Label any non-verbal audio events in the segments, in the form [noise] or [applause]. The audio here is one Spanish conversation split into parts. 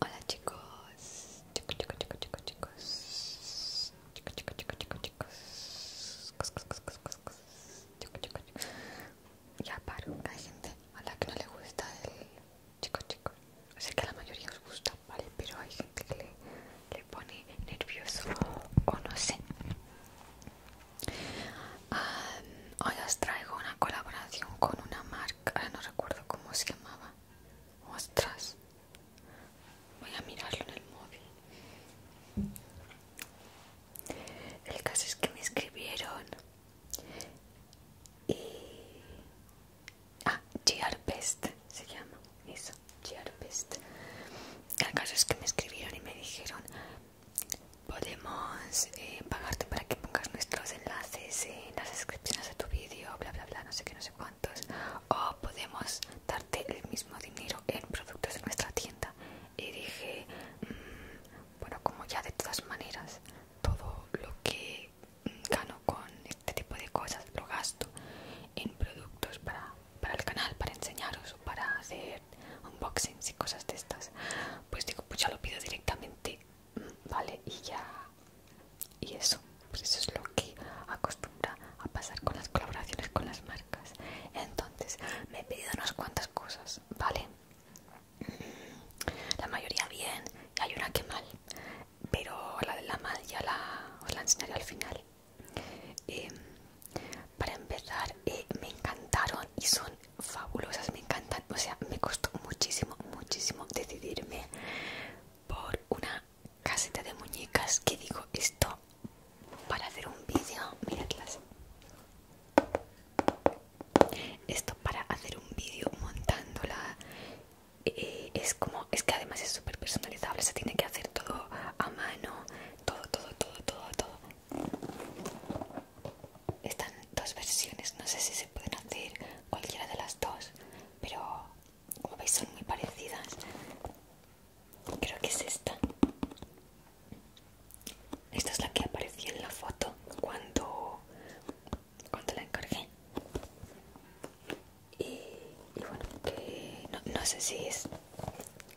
Hola chicos, chicos, chicos, chicos, chicos, chicos, chicos, chicos, chicos, chicos, chicos, ya paro, hay gente a la que no le gusta el chico chico, sé que la mayoría os gusta, vale, pero hay gente que le pone nervioso o no sé, Ah, hoy os traigo una colaboración con una marca, no recuerdo cómo se llamaba. Ostras, voy a mirarlo en el móvil. El caso es que me escribieron y. Ah, GR se llama, eso, El caso es que me escribieron y me dijeron: podemos eh, pagarte para que pongas nuestros enlaces en las descripciones de tu vídeo, bla bla bla, no sé qué, no sé cuántos, o podemos darte el mismo dinero en productos de nuestra tienda. Y dije, mm, bueno, como ya de todas maneras, todo lo que gano con este tipo de cosas lo gasto en productos para, para el canal, para enseñaros o para hacer unboxings y cosas de estas pues digo pues ya lo pido directamente mm, vale y ya y eso pues eso es lo que acostumbra a pasar con las colaboraciones con las marcas entonces me he pedido unas cuantas cosas vale mm, la mayoría bien y hay una que mal pero la de la mal ya la os la enseñaré al final em, para empezar eh, me encantaron y son fabulosas, me encantan. O sea, me costó muchísimo, muchísimo decidirme por una caseta de muñecas que digo esto para hacer un vídeo. Miradlas. Esto para hacer un vídeo montándola. Eh, es como, es que además es súper personalizable, se tiene que hacer todo a mano, todo, todo, todo, todo, todo están dos versiones no sé si se pueden hacer cualquiera de las dos pero como veis son muy parecidas creo que es esta esta es la que aparecía en la foto cuando cuando la encargué y, bueno no, sé si es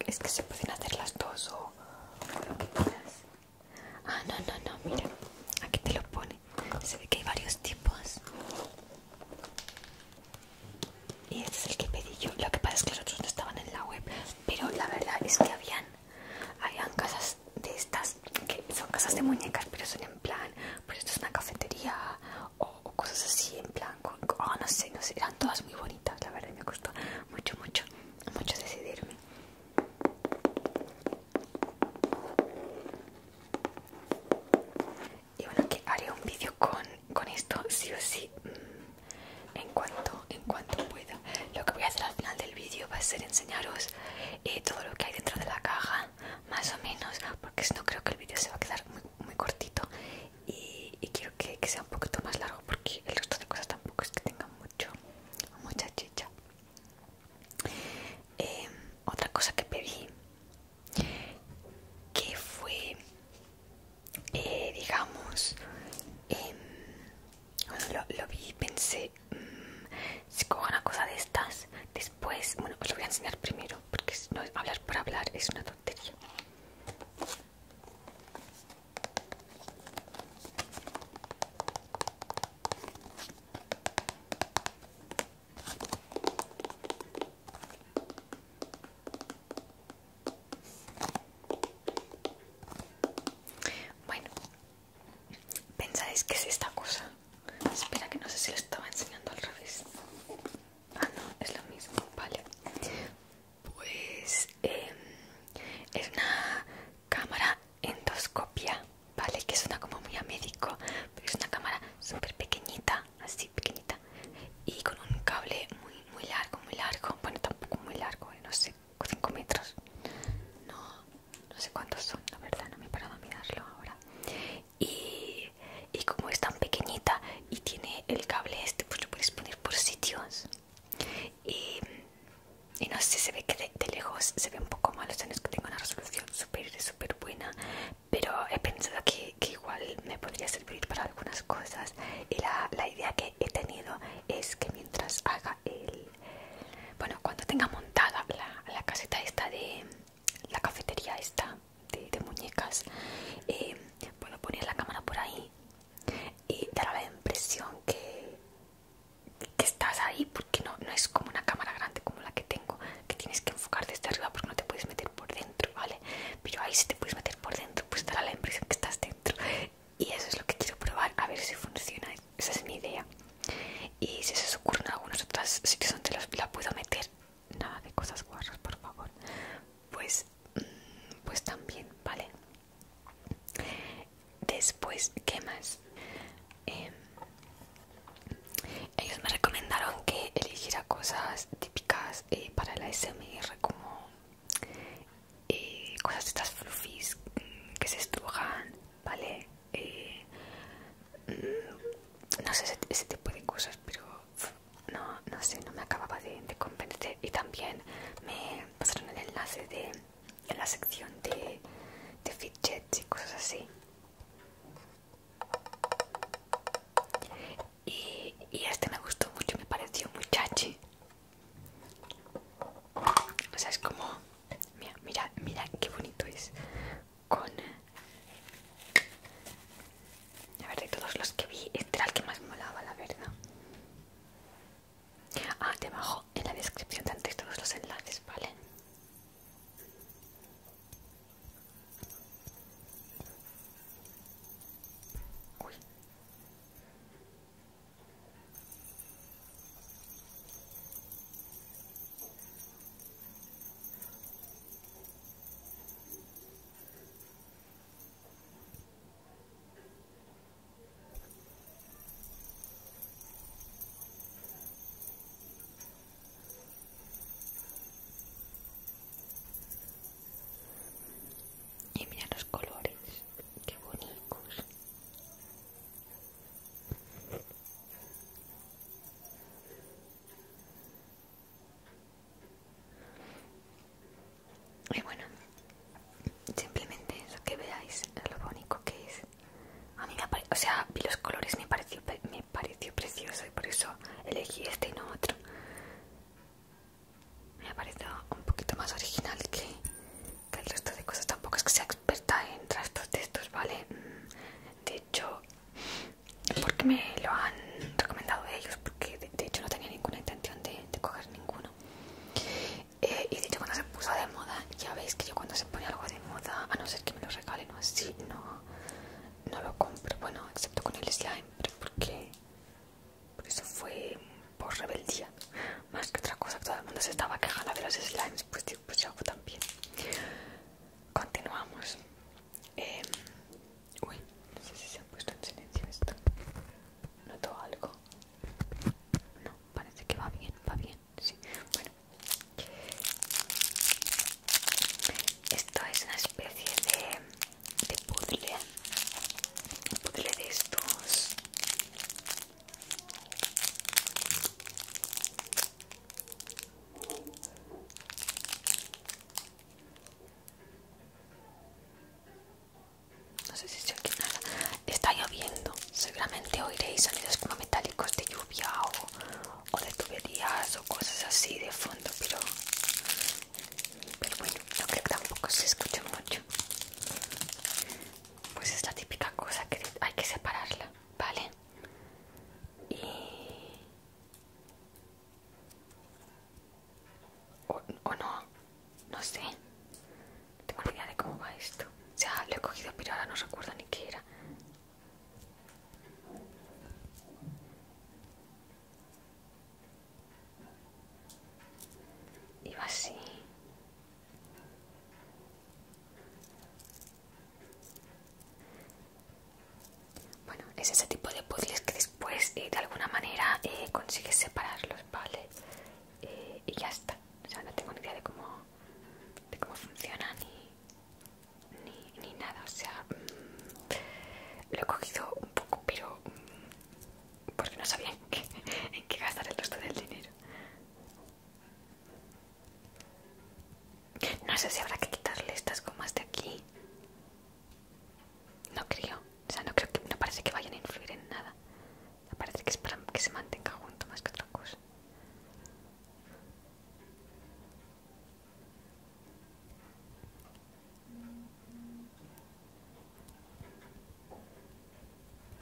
es que se pueden hacer las dos o, o lo que quieras Ah, no, no, no, mira. Aquí te lo pone. Se ve que hay varios tipos. Y este es el que pedí yo. Lo que pasa es que los otros no estaban en la web. Pero la verdad es que habían, habían casas de estas, que son casas de muñecas, pero son en plan, pues esto es una cafetería o, cosas así, en plan, oh, no sé, no sé. Eran todas muy bonitas, la verdad. Me costó mucho, mucho, mucho decidirme. Y bueno, que haré un vídeo con, esto, sí o sí, mm, en cuanto, en cuanto pueda. Lo que voy a hacer al final del vídeo va a ser enseñaros eh, todo lo que hay dentro de la caja, más o menos, porque si no creo que el vídeo se va a quedar muy, cortito y, quiero que, que sea un poquito más largo porque el resto de cosas tampoco es que tengan mucho yo, em, otra cosa que pedí que fue, eh, digamos, em, lo, vi pensé, mm, si cojo una cosa de estas, después, bueno, os lo voy a enseñar primero, porque hablar por hablar es una tontería. Bueno, ¿pensáis que es esta cosa? Espera, que no sé si lo estaba enseñando al revés. Ah, no, es lo mismo, vale. Pues eh, es una cámara endoscopia, ¿vale? Que suena como muy a médico, pero es una cámara súper pequeñita, así pequeñita, y con un cable muy, muy largo, muy largo, bueno, tampoco muy largo, eh, no sé, 5 metros, no, no sé cuántos son, la verdad, no me he parado a mirarlo ahora. y como es tan pequeñita y tiene el cable este, pues lo puedes poner por sitios y, no sé, se ve que de, lejos se ve un poco mal, o es que tengo una resolución súper, súper buena, pero he pensado que, igual me podría servir para algunas cosas y la, la idea que he tenido es que mientras haga el... Bueno, cuando tenga montada la, la caseta esta de... la cafetería esta de, muñecas, eh, puedo poner la cámara por ahí y dar la impresión que, que estás ahí porque no, no es como una cámara grande como la que tengo que tienes que enfocar desde arriba porque no te puedes meter por dentro, ¿vale? Pero ahí si te puedes meter por dentro pues dará la impresión que estás dentro y eso es lo que quiero probar a ver si funciona, esa es mi idea y si se os en algunos otros sitios donde la puedo meter nada de cosas guarras por favor pues, mm, pues también, ¿vale? Después, ¿qué más? Em, ellos me recomendaron que eligiera cosas típicas eh, para la SMR, como eh, cosas de estas fluffies mm, que se estrujan, ¿vale? Eh, mm, no sé ese, tipo de cosas, pero no, sé, no me acababa de convencer. Y también me pasaron el enlace de en la sección de, de fidgets y cosas así. Y, este me gustó mucho, me pareció muy chachi. O sea, es como. Mira, mira, mira qué bonito es. Con. A ver, de todos los que vi, este era el que más me molaba, la verdad. Ah, debajo en la descripción tendréis todos los enlaces, ¿vale? Y mira los colores, qué bonitos. Y bueno, Simplemente lo que veáis lo único que es. A mí me o sea, vi los colores, me pareció, me pareció precioso y por eso elegí este y no otro. Me ha parecido un poquito más original que, el resto de cosas. Tampoco es que sea experta en trastos de estos, ¿vale? Mm, de hecho, porque me lo han recomendado ellos, porque de, hecho no tenía ninguna intención de coger ninguno. Eh, y dicho cuando se puso de moda ya veis que yo cuando se pone algo de moda a no ser que me lo regalen o así no, lo compro bueno excepto con el slime pero porque por eso fue por rebeldía más que otra cosa todo el mundo se estaba quejando de los slimes pues, pues yo también continuamos em, uy no sé si se ha puesto en silencio esto noto algo no, parece que va bien, va bien, sí. Bueno. Esto es una especie de, de puzzle. puzzle de estos. No sé si se oye nada. Está lloviendo. Seguramente oiréis sonidos como metálicos de lluvia o, o de tuberías o cosas así de fondo, pero, bueno, no creo que tampoco se escuche mucho. Pues es la típica cosa que hay que separarla, ¿vale? Y... o no, no sé. No tengo ni idea de cómo va esto. Ya lo he cogido pero ahora no recuerdo ni qué era. va así. Bueno, es ese tipo de puzzles que después eh, de alguna manera consigue eh, consigues separarlos, ¿vale? Eh, y ya está. O sea, no tengo ni idea de cómo, de cómo funciona ni, ni, ni nada. O sea, mm, lo he cogido un poco, pero mm, porque no sabía en qué, gastar el resto del dinero. No sé si habrá que quitarle estas gomas de aquí. No creo. O sea, no creo que no parece que vayan a influir en nada. Parece que es para que se mantenga junto más que otra cosa.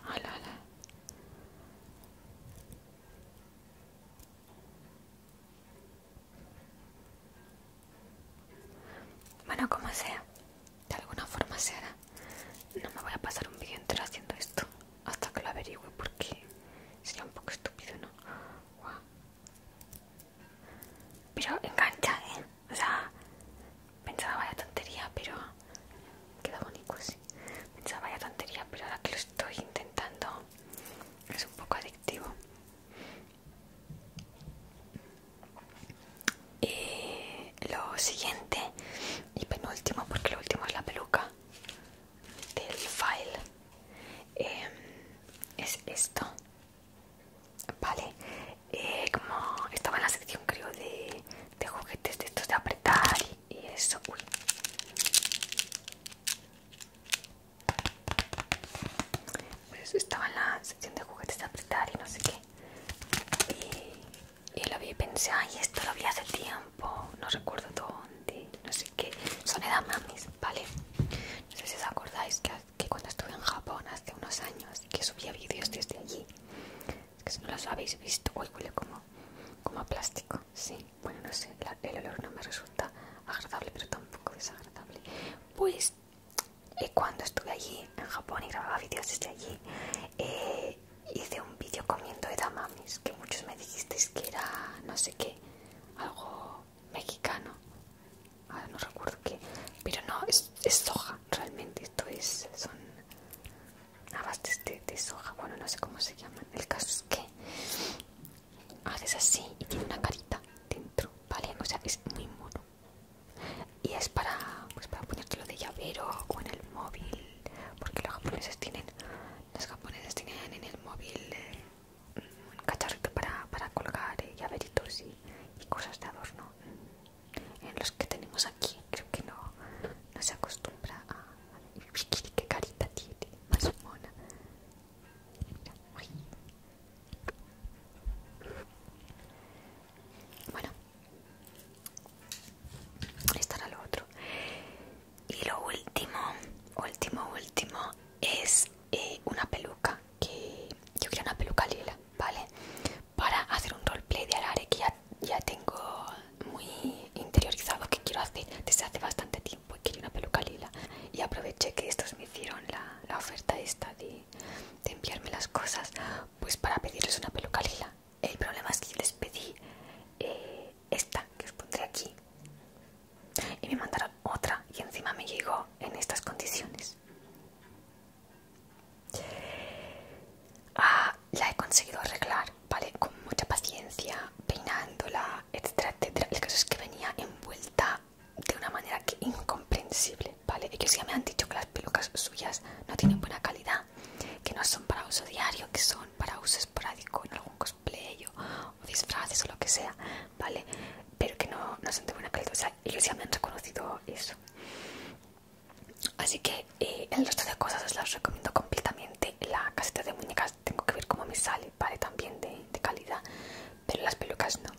Hola, hola. Bueno, como sea, de alguna forma será No me voy a pasar un vídeo entero haciendo esto hasta que lo averigüe porque sería un poco estúpido, ¿no? Pero engancha, ¿eh? O sea, pensaba vaya tontería, pero queda bonito así. Pensaba vaya tontería, pero ahora que lo estoy intentando es un poco adictivo y lo siguiente y penúltimo porque lo último es la peluca del file em, es esto vale eh, como estaba en la sección creo de, juguetes de estos de apretar y, eso uy pues estaba en la sección de juguetes de apretar y no sé qué y y lo vi pensé, ay, esto lo vi hace tiempo, no recuerdo dónde, no sé qué, son edamamis, ¿vale? No sé si os acordáis que, cuando estuve en Japón hace unos años y que subía vídeos desde allí, que si no los habéis visto, uy huele como, como a plástico, sí, bueno, no sé, el olor no me resulta agradable, pero tampoco desagradable, pues... y eh, cuando estuve allí en Japón y grababa vídeos desde allí, eh, hice un vídeo comiendo edamames que muchos me dijisteis que era no sé qué algo mexicano no recuerdo qué pero no es, soja realmente esto es son abastes de, soja bueno no sé cómo se llaman el caso es que haces así y tiene una carita dentro vale o sea es muy mono y es para, pues para ponértelo de llavero o en el móvil porque los japoneses tienen los japoneses tienen en el móvil eh, un cacharrito para, para colgar eh, llaveritos y, cosas de adorno en los que tenemos aquí creo que no, no se acostumbra a qué carita tiene más mona bueno otro. Y lo último, último, último es eh, una peluca que yo quería una peluca lila, ¿vale? Para hacer un roleplay de Alare que ya, tengo muy interiorizado que quiero hacer desde hace bastante tiempo. Quería una peluca lila y aproveché que estos me hicieron la, oferta esta de, de enviarme las cosas, pues para pedirles una peluca lila. El problema es que les pedí eh, esta que os pondré aquí y me mandaron otra y encima me llegó en estas condiciones. Ah, la he conseguido arreglar, ¿vale? Con mucha paciencia, peinándola, etc. El caso es que venía envuelta de una manera que incomprensible, ¿vale? Ellos ya me han dicho que las pelucas suyas no tienen buena calidad que no son para uso diario, que son para uso esporádico en algún cosplay o, disfraces o lo que sea, ¿vale? Pero que no, son de buena calidad, o sea, ellos ya me han reconocido eso. Así que eh, el resto de cosas os las recomiendo completamente. La caseta de muñecas tengo que ver cómo me sale, ¿vale? También de, calidad, pero las pelucas no.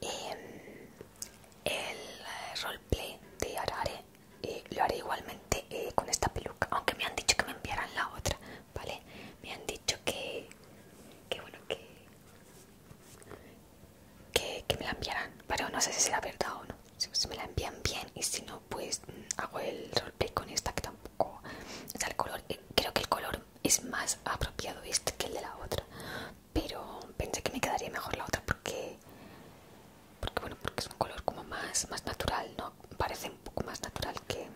Em, el eh, roleplay de Arare lo haré igualmente eh, con esta peluca aunque me han dicho que me enviaran la otra vale me han dicho que que bueno que que, me la enviarán pero no sé si será verdad o no si, me la envían bien y si no pues mm, hago el roleplay con esta que tampoco es el color eh, creo que el color es más apropiado este que el de la otra pero pensé que me quedaría mejor la otra porque porque bueno porque es un color como más más natural no parece un poco más natural que,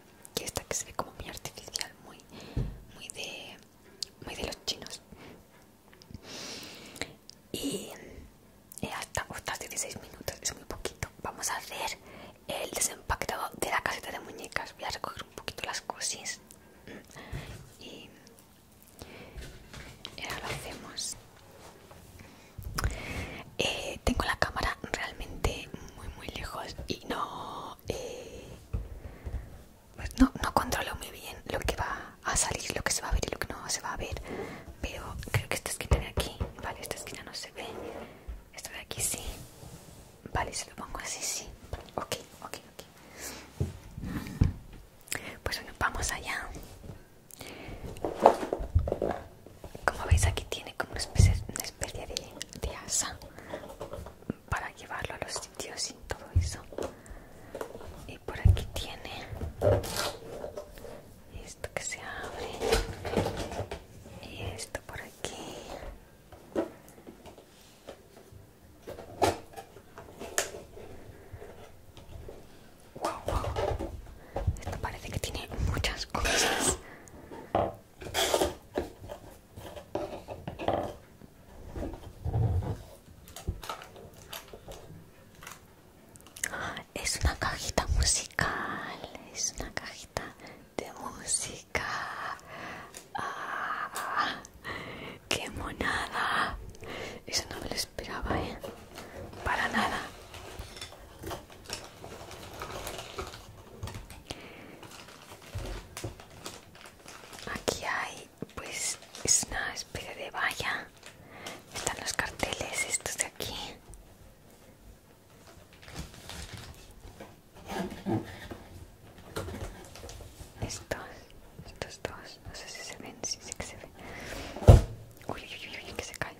esta que se ve como muy artificial muy muy de muy de los chinos y eh, hasta, hasta 16 minutos es muy poquito vamos a hacer el desempaquetado de la caseta de muñecas voy a recoger un poquito las cosis y ahora lo hacemos. Eh, tengo la cámara realmente muy muy lejos y no, eh, no, no controlo muy bien lo que va a salir, lo que se va a ver y lo que no se va a ver. Pero creo que esta esquina de aquí, vale, esta esquina no se ve. Esta de aquí sí. Vale, se lo pongo así, sí. Ok, ok, ok. Pues bueno, vamos allá. Como veis aquí tiene como una especie, de, de asa para llevarlo a los sitios y todo eso. Y por aquí tiene esto que se abre y esto por aquí wow, Esto parece que tiene muchas cosas. Es una cajita musical, es una cajita de música. Ah, ¡Qué monada! Eso no me lo esperaba, ¿eh? para nada. Aquí hay pues es una especie de valla. Están los carteles estos de aquí. Estos, estos dos no sé si se ven, sí sé que se ven. Uy, uy, uy, que se caen.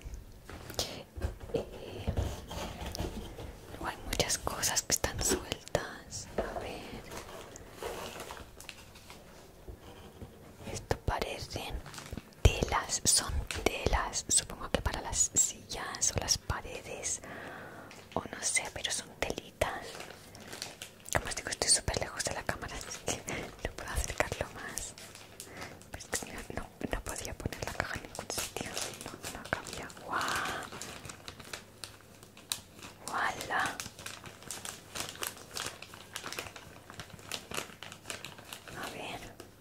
Eh, hay muchas cosas que están sueltas. A ver. Esto parecen telas, son telas. Supongo que para las sillas o las paredes. O no sé, pero son telitas. Como os digo, estoy súper lejos de la cámara, así que no [laughs] puedo acercarlo más. Pues no, podía poner la caja en ningún sitio. No, no cabía. ¡Guau! wala A ver,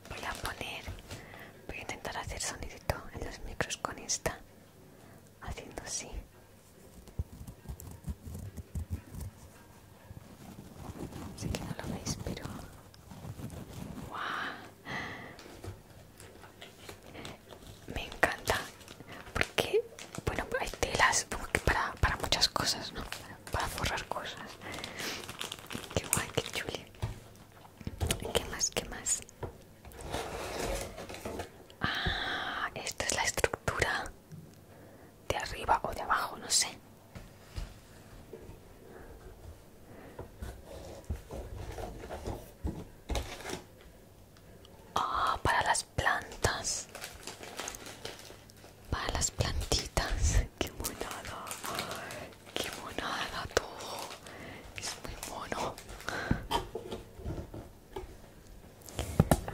voy a poner. Voy a intentar hacer sonidito en los micros con esta. Haciendo así. Sé que no lo veis, pero... Me encanta. Porque, bueno, hay telas para, para muchas cosas, ¿no? Para forrar cosas. Qué guay, qué chule ¿Qué más? ¿Qué más? Ah, esta es la estructura de arriba o de abajo, no sé. Ah, para las plantas. Para las plantitas. Qué monada. Qué monada todo. Es muy mono.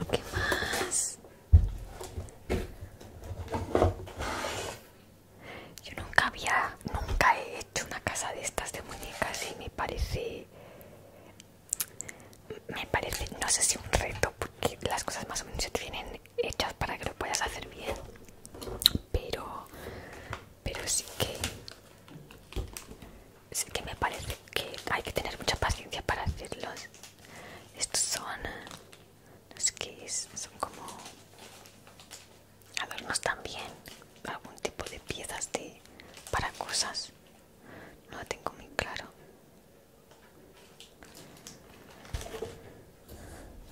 ¿Qué más? Yo nunca había, nunca he hecho una casa de estas de muñecas y me parece, me parece, no sé si un reto, porque las cosas más o menos se tienen hechas para que lo puedas hacer bien, pero, pero sí que, sí que me parece que hay que tener mucha paciencia para hacerlos. Estos son los keys son como adornos también algún tipo de piezas de para cosas no lo tengo muy claro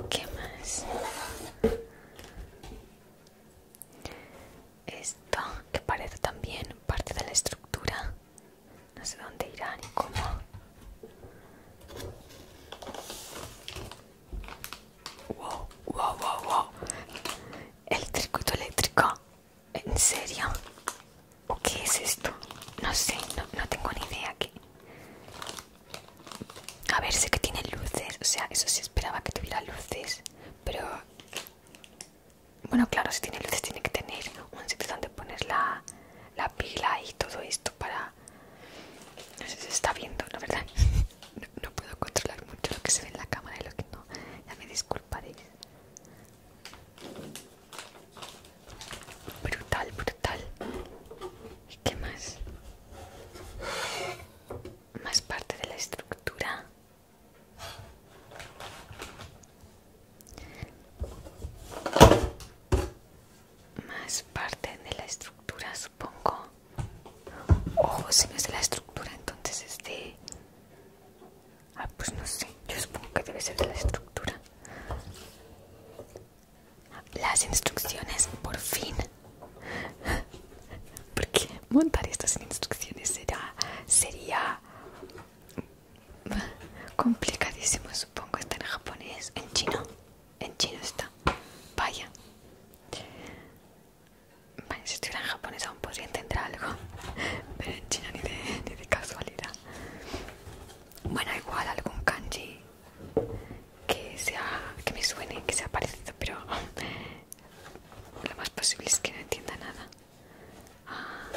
qué más esto que parece también parte de la estructura no sé dónde irán ni cómo. Wow, wow, wow, wow. El circuito eléctrico. ¿En serio? ¿O qué es esto? No sé, no, tengo ni idea qué. A ver, sé que tiene luces. O sea, eso sí esperaba que tuviera luces. Pero... Bueno, claro, si tiene luces tiene que tener un sitio donde ponerla la pila y todo esto para... No sé si se está viendo, la verdad. [laughs] No, puedo controlar mucho lo que se ve en la cámara y lo que no. Ya me disculparéis. Brutal, brutal. ¿Y qué más? Más parte de la estructura más parte de la estructura supongo ojo si no es de la estructura entonces es de ah pues no sé yo supongo que debe ser de la estructura las instrucciones por fin [laughs] porque montar estas instrucciones será sería Complicadísimo, supongo. Está en japonés, en chino. En chino está. Vaya. si estuviera en japonés aún podría entender algo. [laughs] Pero en chino ni de, casualidad. Bueno, igual algún kanji que sea que me suene, que sea parecido, pero [laughs] lo más posible es que no entienda nada. Ah,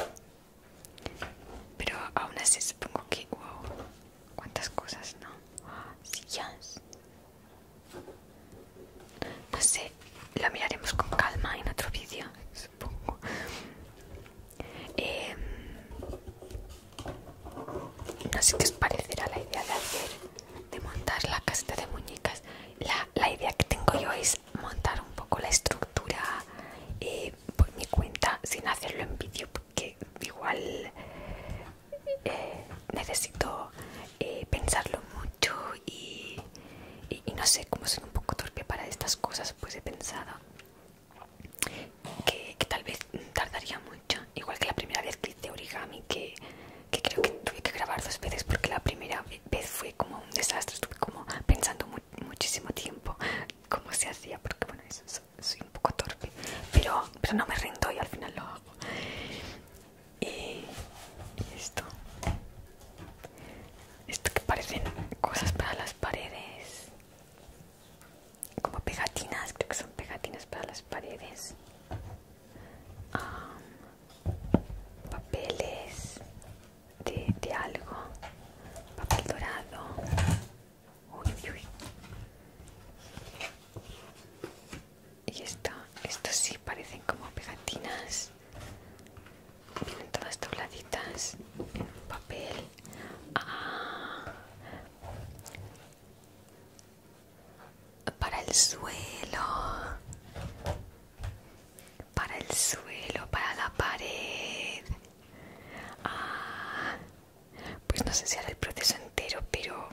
pero aún así supongo que... ¡Wow! ¿Cuántas cosas, no? Sillas. No sé, lo miraremos con calma en otro vídeo, supongo. Em, no sé qué os parecerá la idea de hacer, de montar la caseta de muñecas. La, idea que tengo yo es montar un poco la estructura eh, por mi cuenta, sin hacerlo en vídeo, que igual eh, necesito eh, pensarlo mucho y, no sé cómo soy un poco torpe para estas cosas pues he pensado que, tal vez tardaría mucho igual que la primera vez que hice origami que, creo que tuve que grabar dos veces porque la primera vez fue como un desastre estuve como pensando muchísimo tiempo cómo se hacía porque bueno eso, eso soy un poco torpe, pero, pero no me rindo y al final lo hago. Y, esto, esto que parecen cosas para las paredes, como pegatinas, creo que son pegatinas para las paredes, papeles de algo, papel dorado. Uy, uy, Y esto esto sí parecen como pegatinas. Vienen todas dobladitas en papel. Ah. para el suelo. Para el suelo, para la pared. Ah, pues no sé si haré el proceso entero, pero...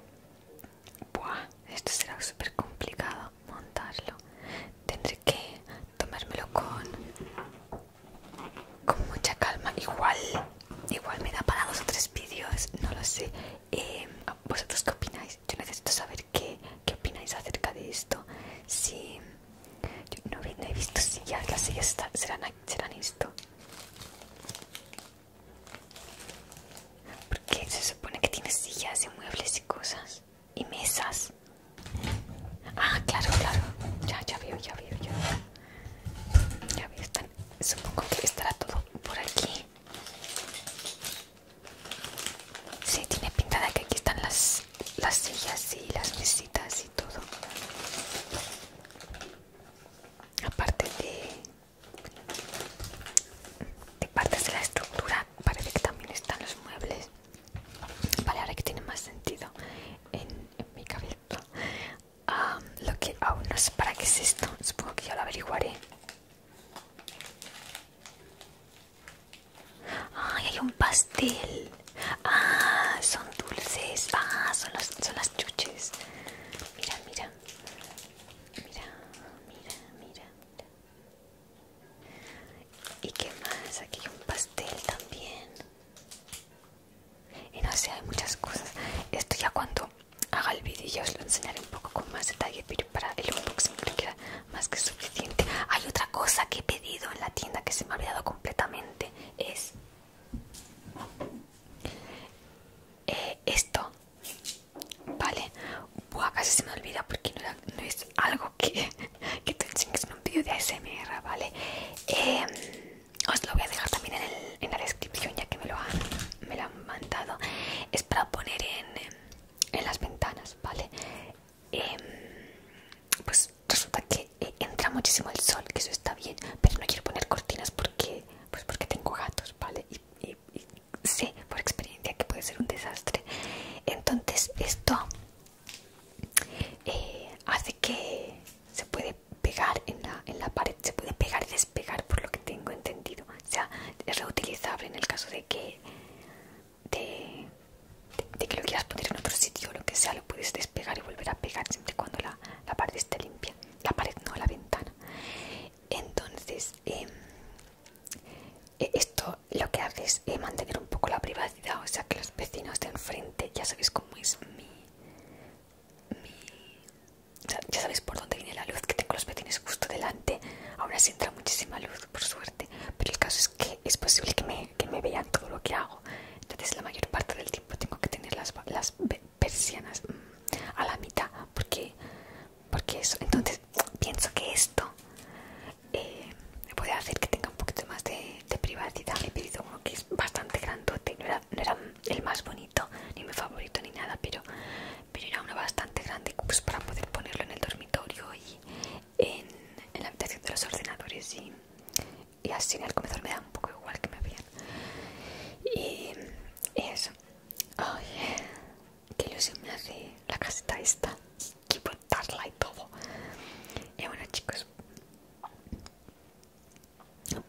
esto será súper complicado montarlo. Tendré que tomármelo con... Con mucha calma. Igual, igual me da para dos o tres vídeos, no lo sé. Em, ¿Vosotros qué opináis? Yo necesito saber qué, qué opináis acerca de esto. Si... Yo no, he visto sillas, las sillas serán, esto. Porque se supone que tiene sillas y muebles y cosas. Y mesas. Ah, claro, claro. Ya, ya veo, ya veo, ya veo. Ya están, supongo que estará todo por aquí. Sí, tiene pintada que aquí están las, las sillas y las mesitas y todo aparte de, de partes de la estructura parece que también están los muebles vale ahora que tiene más sentido en, mi cabeza ah, lo que aún no sé para qué es esto supongo que yo lo averiguaré ay hay un pastel Ah, son dulces. Ah, son, son las chuches. Mira, mira. Mira, mira, mira. ¿Y qué más? Aquí hay un pastel también. Y no sé, hay muchas cosas. Esto ya cuando haga el vídeo ya os lo enseñaré un poco con más detalle, pero para el unboxing creo que más que suficiente. Hay otra cosa que he pedido en la tienda que se me ha olvidado completamente. Es eh, esto vale Buah, casi se me olvida porque no, es algo que, [laughs] que te en un vídeo de ASMR vale em, os lo voy a dejar también en, la descripción ya que me lo han, me han mandado es para poner en, las ventanas vale em, pues resulta que eh, entra muchísimo el sol, que eso está bien, pero no quiero poner cortinas porque, pues, porque tengo gatos, Y, sé por experiencia que puede ser un desastre. Entonces esto eh, hace que se puede pegar en la, pared, se puede pegar y despegar por lo que tengo entendido. O sea, es reutilizable en el caso de que... De, que lo quieras poner en otro sitio o lo que sea, lo puedes despegar y volver a pegar siempre y cuando la, pared está limpia, la pared no, la ventana. Entonces, em, e, esto lo que hace es eh, mantener un poco la privacidad, o sea que los vecinos de enfrente, ya sabéis cómo es mi... ya sabéis por dónde viene la luz, que tengo los vecinos justo delante, ahora sí entra muchísima luz, por suerte, pero el caso es que es posible que me vean todo lo que hago entonces la mayor parte del tiempo tengo que tener las, persianas mm, a la mitad porque porque eso entonces pienso que esto me eh, puede hacer que tenga un poquito más de, privacidad he pedido uno que es bastante grande no era, el más bonito ni mi favorito ni nada pero pero era uno bastante grande pues, para poder ponerlo en el dormitorio y en, en la habitación de los ordenadores y y así en el comedor me da un poco igual que me habían y, eso oye que ilusión me hace la casita esta y y todo y bueno chicos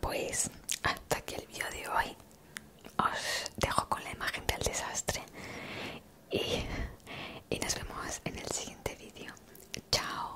pues hasta aquí el vídeo de hoy os dejo con la imagen del desastre y nos vemos en el siguiente vídeo chao